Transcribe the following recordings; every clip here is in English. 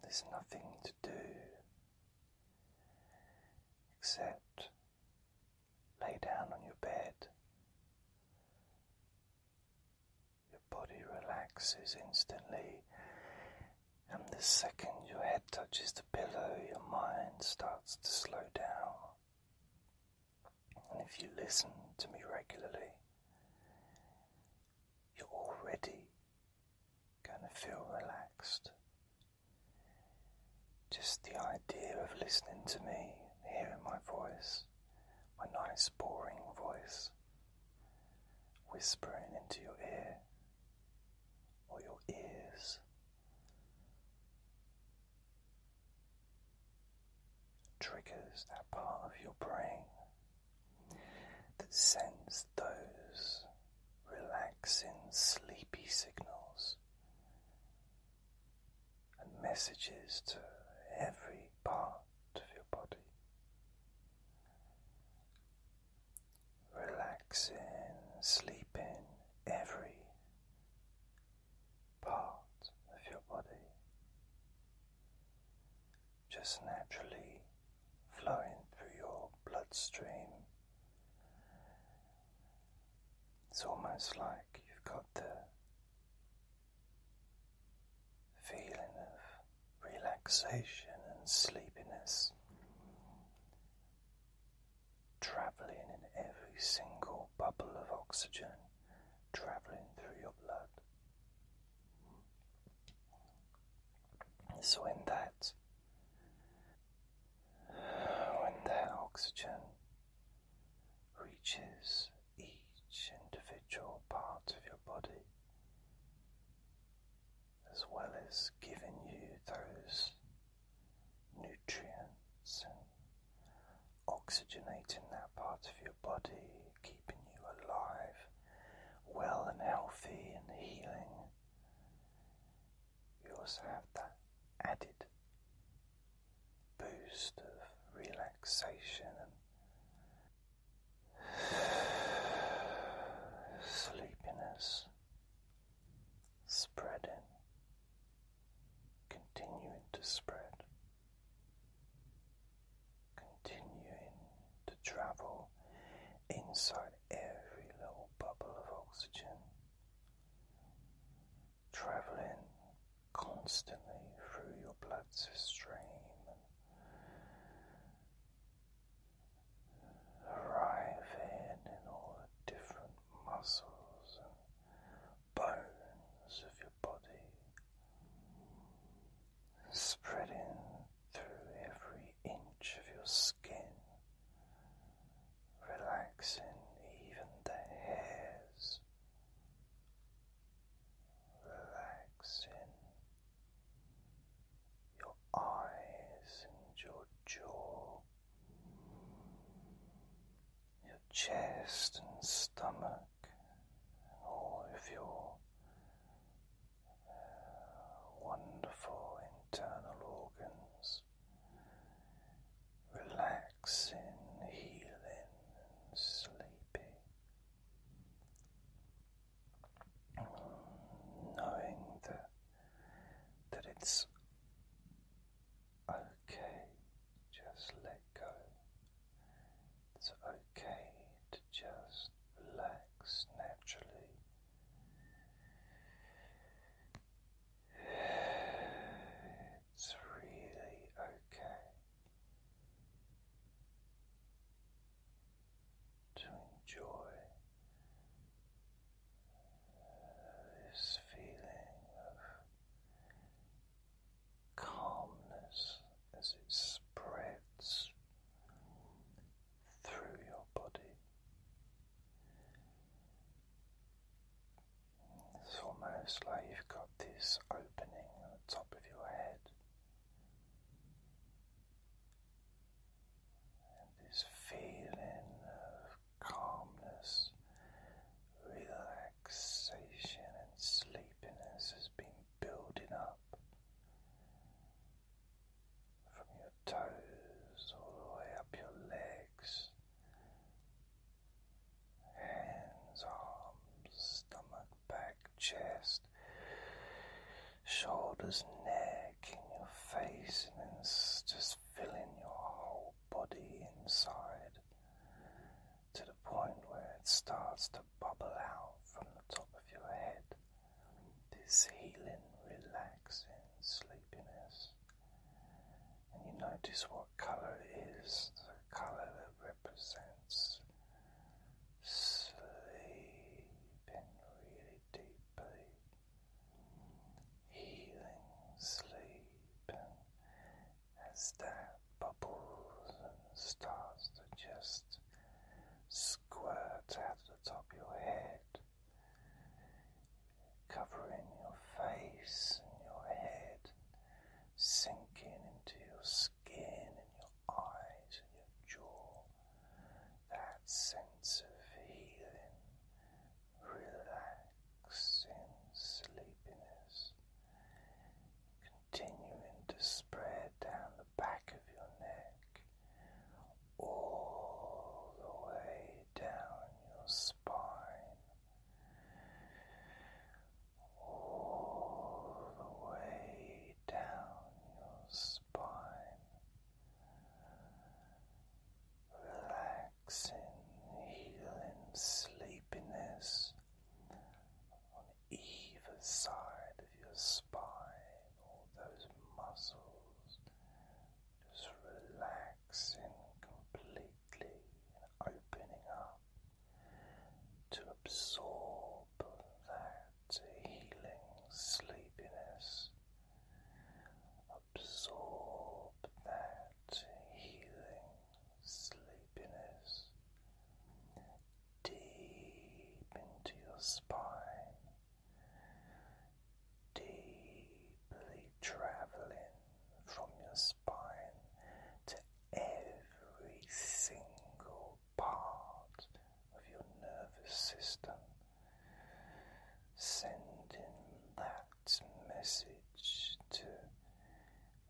there's nothing to do except lay down on your bed. Your body relaxes instantly, and the second your head touches the pillow, your mind starts to slow down. And if you listen to me regularly, you're already going to feel relaxed. Just the idea of listening to me, hearing my voice, my nice, boring voice, whispering into your ear or your ears triggers that part of your brain that sends those relaxing, sleepy signals and messages to every part of your body. Relaxing, sleeping, every part of your body just naturally flowing through your bloodstream. It's almost like you've got the feeling of relaxation and sleepiness travelling in every single bubble of oxygen, travelling through your blood. So in that when that oxygen reaches each individual part of your body, as well as giving you those nutrients oxygenating that part of your body, keeping you alive, well and healthy and healing. You also have that added boost of relaxation and sleepiness spreading, continuing to spread. Continuing to travel inside every little bubble of oxygen, traveling constantly through your blood stream, arriving in all the different muscles and bones of your body, spreading through every inch of your skin, relaxing even the hairs, relaxing your eyes and your jaw. Your chest and stomach, all of your uh, wonderful internal organs relaxing, healing, and Knowing that that it's okay, just let go it's okay to just relax naturally. It's really okay to enjoy this feeling of calmness as it spreads through your body. It's almost like you've got this opening at the top of your head. And this feeling of calmness, relaxation, and sleepiness has been building up from your toes all the way up your legs, hands, arms, stomach, back, chest, shoulders, neck, in your face, and then just filling your whole body inside to the point where it starts to bubble out from the top of your head. This healing, relaxing sleepiness. And you notice what colour is the colour that represents sleeping really deeply, healing sleep. as that bubbles and stars that just squirt out of the top of your head, covering your face and your head, sinking into your skin and your eyes and your jaw. That sense of healing, relaxing, sleepiness continuing to spread down the back of your neck, all the way down your spine, all the way down your spine, relaxing, healing sleepiness on either side of your spine, all those muscles just relaxing completely and opening up to absorb that healing sleepiness. Absorb that healing sleepiness deep into your spine, deeply traveling from your spine to every single part of your nervous system, sending that message to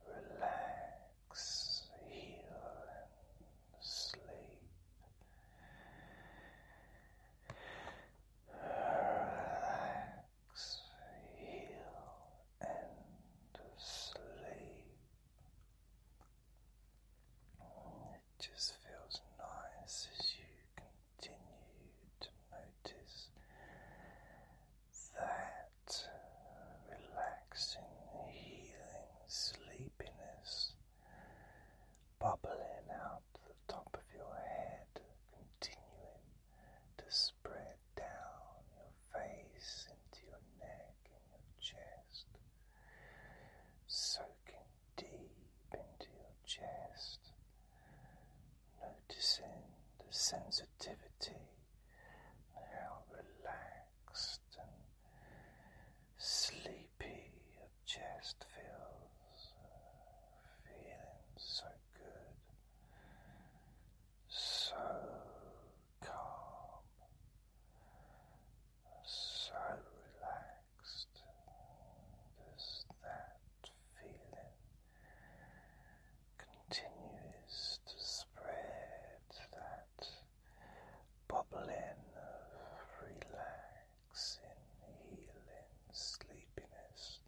relax relax, heal, and sleep. Relax, heal, and sleep. It just feels nice as you continue to notice that relaxing, healing sleepiness bubbling out the top of your head, continuing to spread down your face into your neck and your chest, soaking deep into your chest, noticing the sensitivity. How relaxed and sleepy your chest feels feeling so good so calm so relaxed does that feeling continues to spread that bubbling of relaxing, healing sleepiness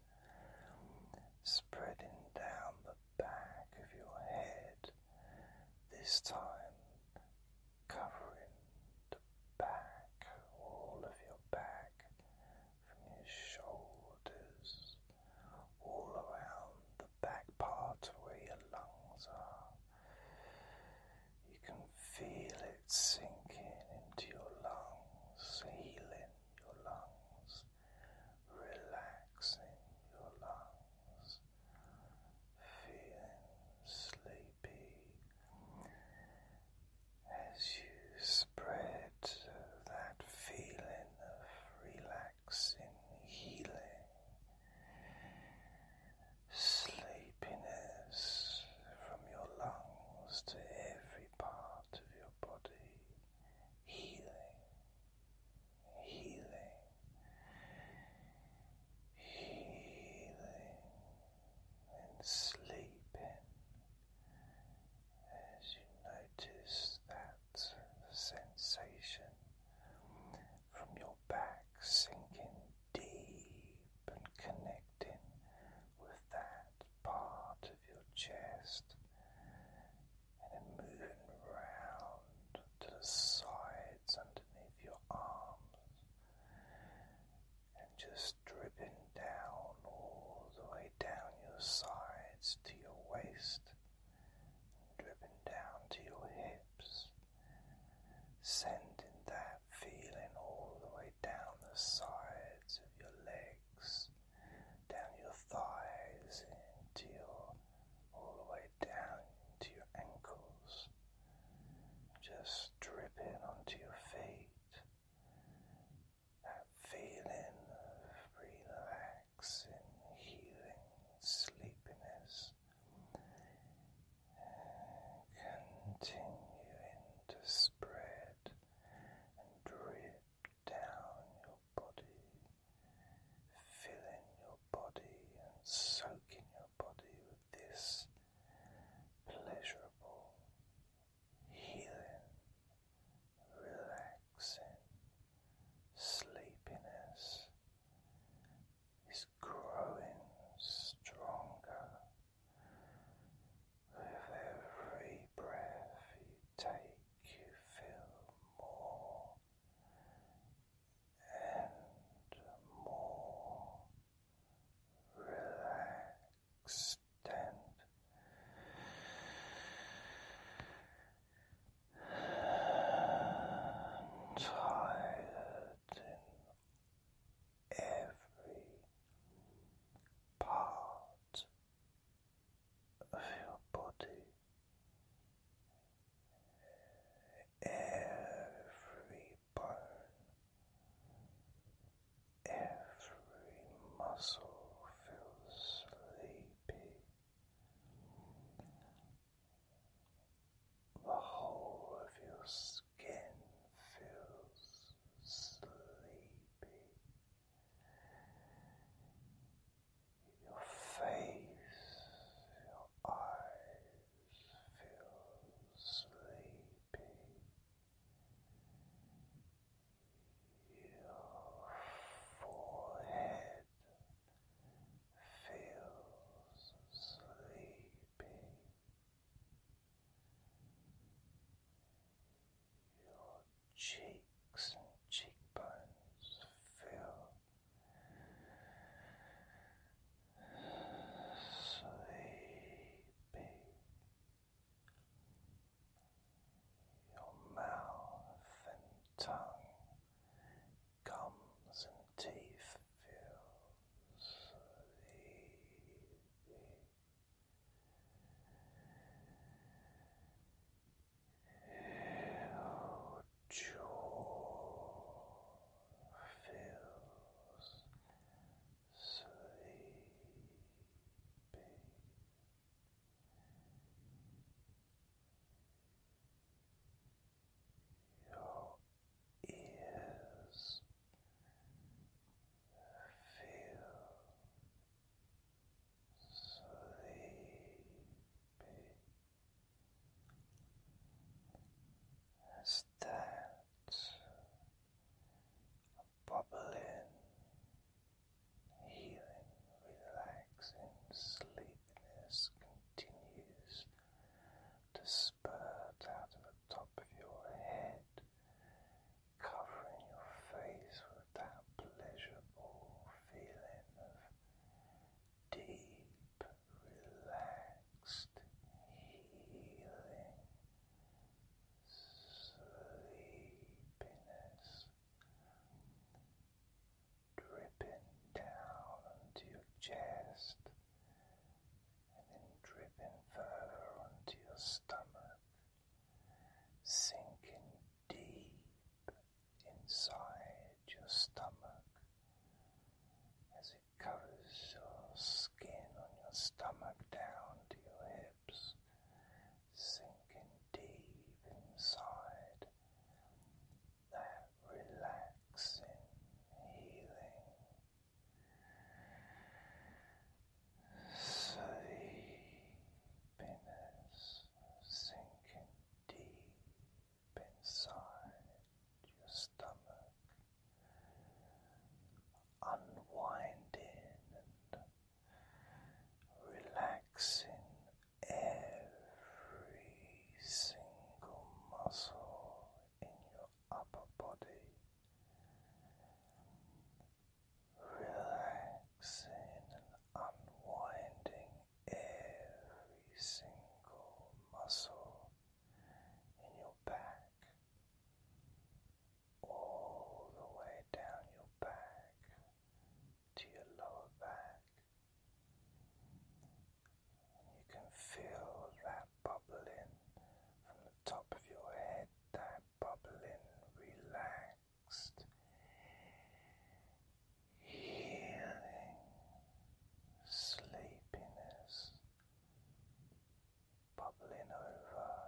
spreading down the back of your head, this time covering the back, all of your back, from your shoulders, all around the back part where your lungs are. You can feel it sinking into your lungs, healing your lungs, relaxing your lungs, feeling sleepy as you spread that feeling of relaxation relaxing, healing, sleepiness from your lungs to every part of your body, healing, healing, healing, and sleeping as you notice that sensation from your back, sinking deep and connecting with that part of your chest, and then moving round to the sides underneath your arms, and just dripping down all the way down your sides to your waist dripping down to your hips, sending that feeling all the way down the sides of your legs, down your thighs, into your all the way down to your ankles, just dripping onto your feet. That feeling of relaxing, healing, sleepiness continuing to spread and drip down your body, filling your body and soaking your body with this pleasurable, healing, relaxing sleepiness growing stronger with every breath you take, you feel more and more relaxed and and tired in every part of your body. Every bone, every muscle feels sleepy the whole of your skin feels sleepy. Your face, your eyes feel sleepy. Your forehead feels sleepy. Your cheeks and cheekbones feel sleepy. Your mouth and tongue gums and teeth feel so easy. jaw feels sleepy your ears feel sleepy as that bubbling, healing, relaxing sleepiness continues to spurt out of the top of your head, covering your face with that pleasurable feeling of deep, relaxed healing. Sleepiness, dripping down onto your chest and then dripping further onto your stomach, sinking deep inside your stomach as it covers your skin on your stomach down to your hips, sinking deep inside that relaxing healing sleepiness sinking deep inside your stomach, unwinding and Relaxing every Every single muscle in your upper body, relaxing and unwinding every single muscle in your back, all the way down your back to your lower back. You can feel that bubbling from the top of your head, that bubbling relaxed healing sleepiness bubbling over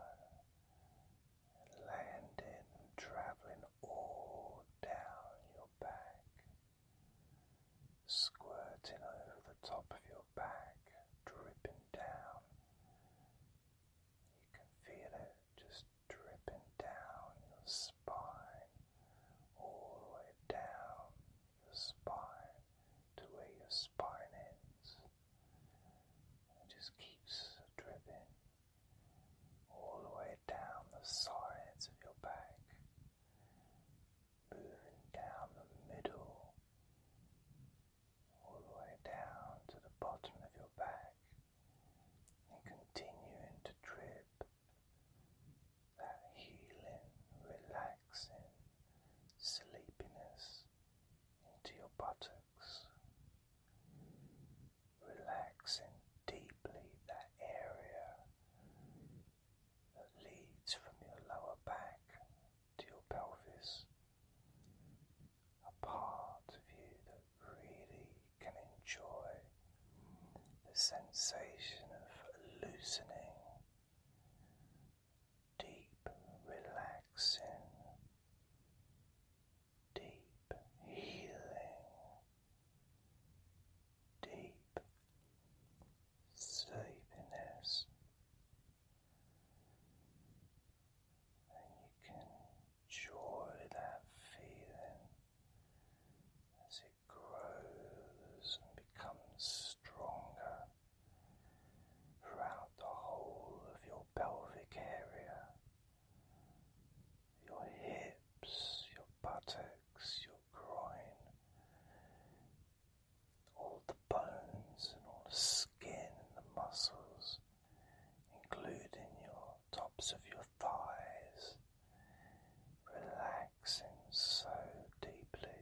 landing and traveling all down your back squirting over the top of your back, dripping down. You can feel it just dripping down your spine, all the way down your spine to where your spine ends. It just keeps dripping all the way down the sides of your back down the middle, all the way down to the bottom of your back, and continuing to drip that healing, relaxing sleepiness into your buttocks, relaxing deeply that area that leads from your lower back to your pelvis. A part of you that really can enjoy the sensation of loosening, deep relaxing, deep healing, deep sleepiness, and you can enjoy that feeling as it grows and becomes stronger throughout the whole of your pelvic area. Your hips, your buttocks, your groin, all the bones and all the skin and the muscles, including your tops of your thighs, relaxing so deeply.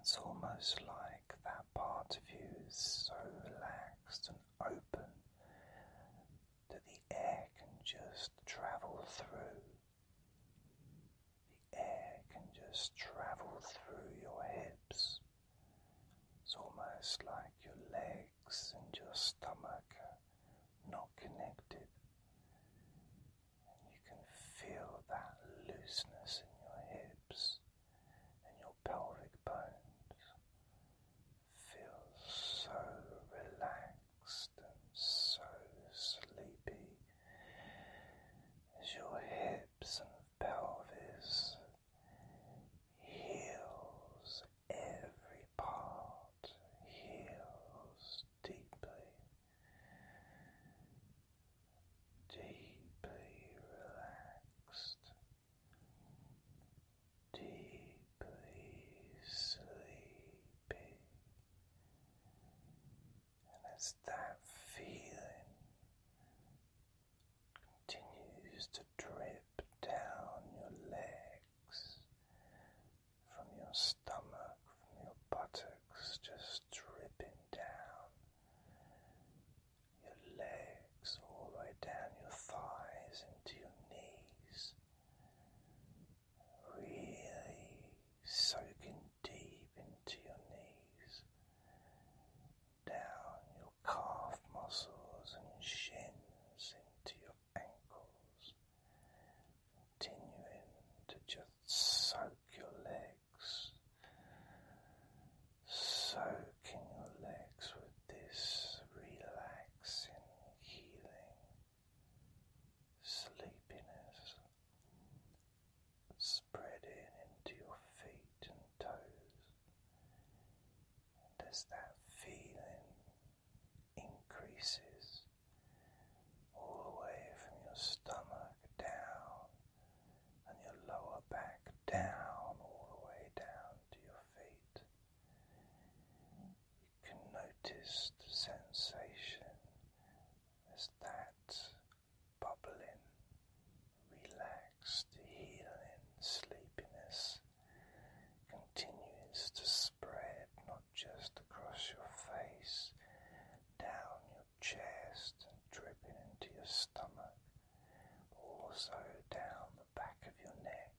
It's almost like that part of you is so relaxed and open that the air can just travel through. The air can just travel through your hips. It's almost like your legs and your stomach are not connected. And you can feel that looseness in your hips and your pelvic bones feel so relaxed and so sleepy as your hips and pelvis heals every part heals deeply deeply relaxed deeply sleepy, and as that feeling continues to drip down your legs, from your stomach, from your buttocks, just dripping down. Your legs all the way down your thighs into your knees, really soaking deep into your knees, down your calf muscles and shins into your ankles, continuing to just soak your legs, soaking your legs with this relaxing, healing sleepiness spreading into your feet and toes. And that feeling increases all the way from your stomach down and your lower back down, all the way down to your feet, can notice sensation as that bubbling, relaxed, healing sleepiness continues to spread not just across your face, down your chest, and dripping into your stomach, also down the back of your neck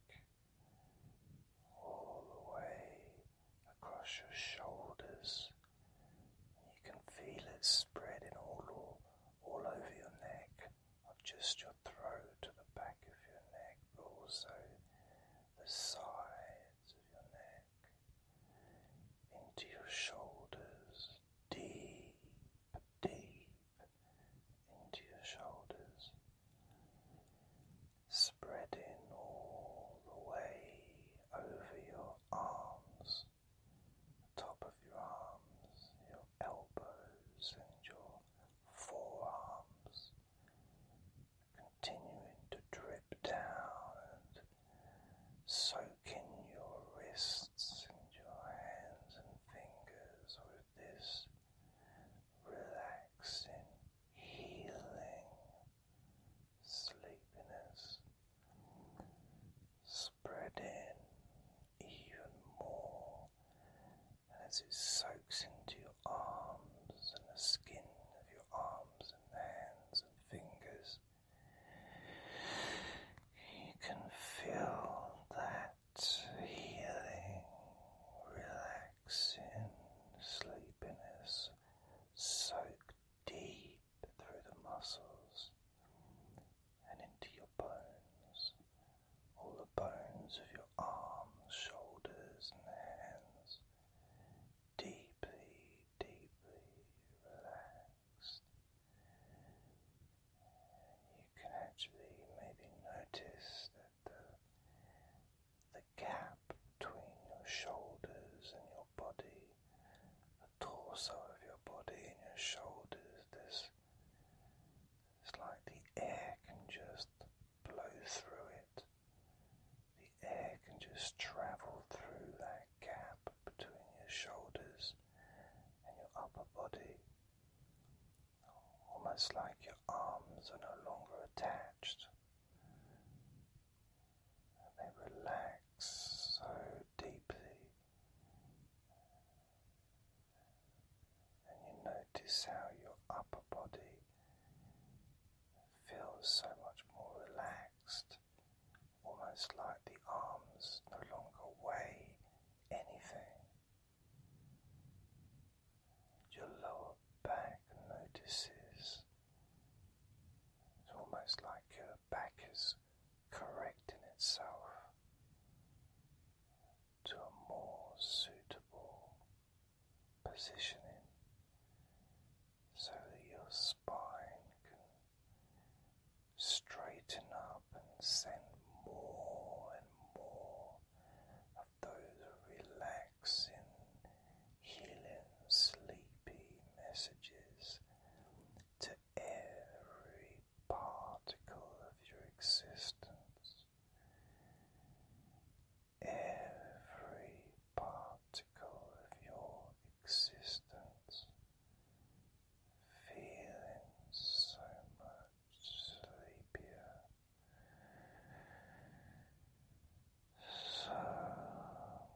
all the way across your shoulders. You can feel it spreading all, all over your neck, not just your throat to the back of your neck, but also the sides of your neck, into your shoulders, deep, deep into your shoulders spreading all the way over your arms, top of your arms, your elbows, and your forearms, continuing to drip down and soaking your wrists and your hands and fingers with this relaxing, healing sleepiness, spreading even more. as it soaks into your arms and the skin of your arms and hands and fingers, you can feel that healing, relaxing relaxing sleepiness soaked deep through the muscles and into your bones, all the bones of your arms, shoulders, and hands, deeply, deeply relaxed. You can actually maybe notice that the gap between your shoulders and your body, the torso of your body and your shoulders. This, it's like the air can just blow through it. The air can just travel through that gap between your shoulders and your upper body. Almost like your arms are no longer attached, they relax so deeply, and you notice how your upper body feels so much more relaxed, almost like the arms no longer weigh anything your lower back notices. It's almost like your back is correcting itself to a more suitable positioning so that your spine can straighten up and send more and more of those relaxing, healing, sleepy messages to every particle of your existence. Every particle of your existence feeling so much sleepier so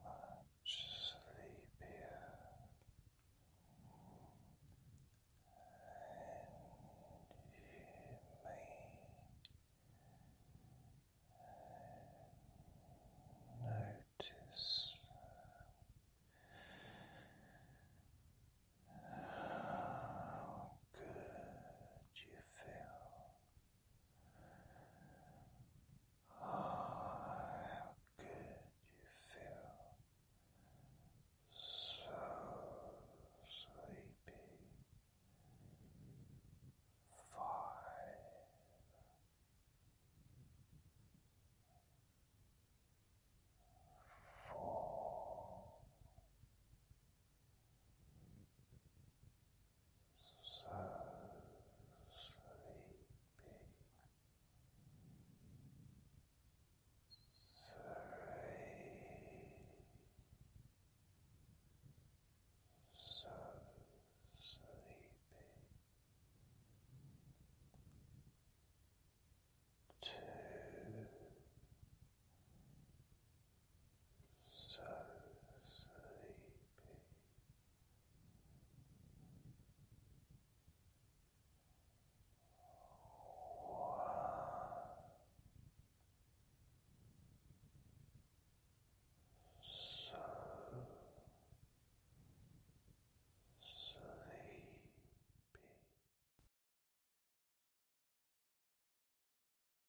much sleepier and you may notice how good you feel Oh, how good you feel. So sleepy. Five. Four so sleepy, so sleepy. Two, so sleepy. So sleepy.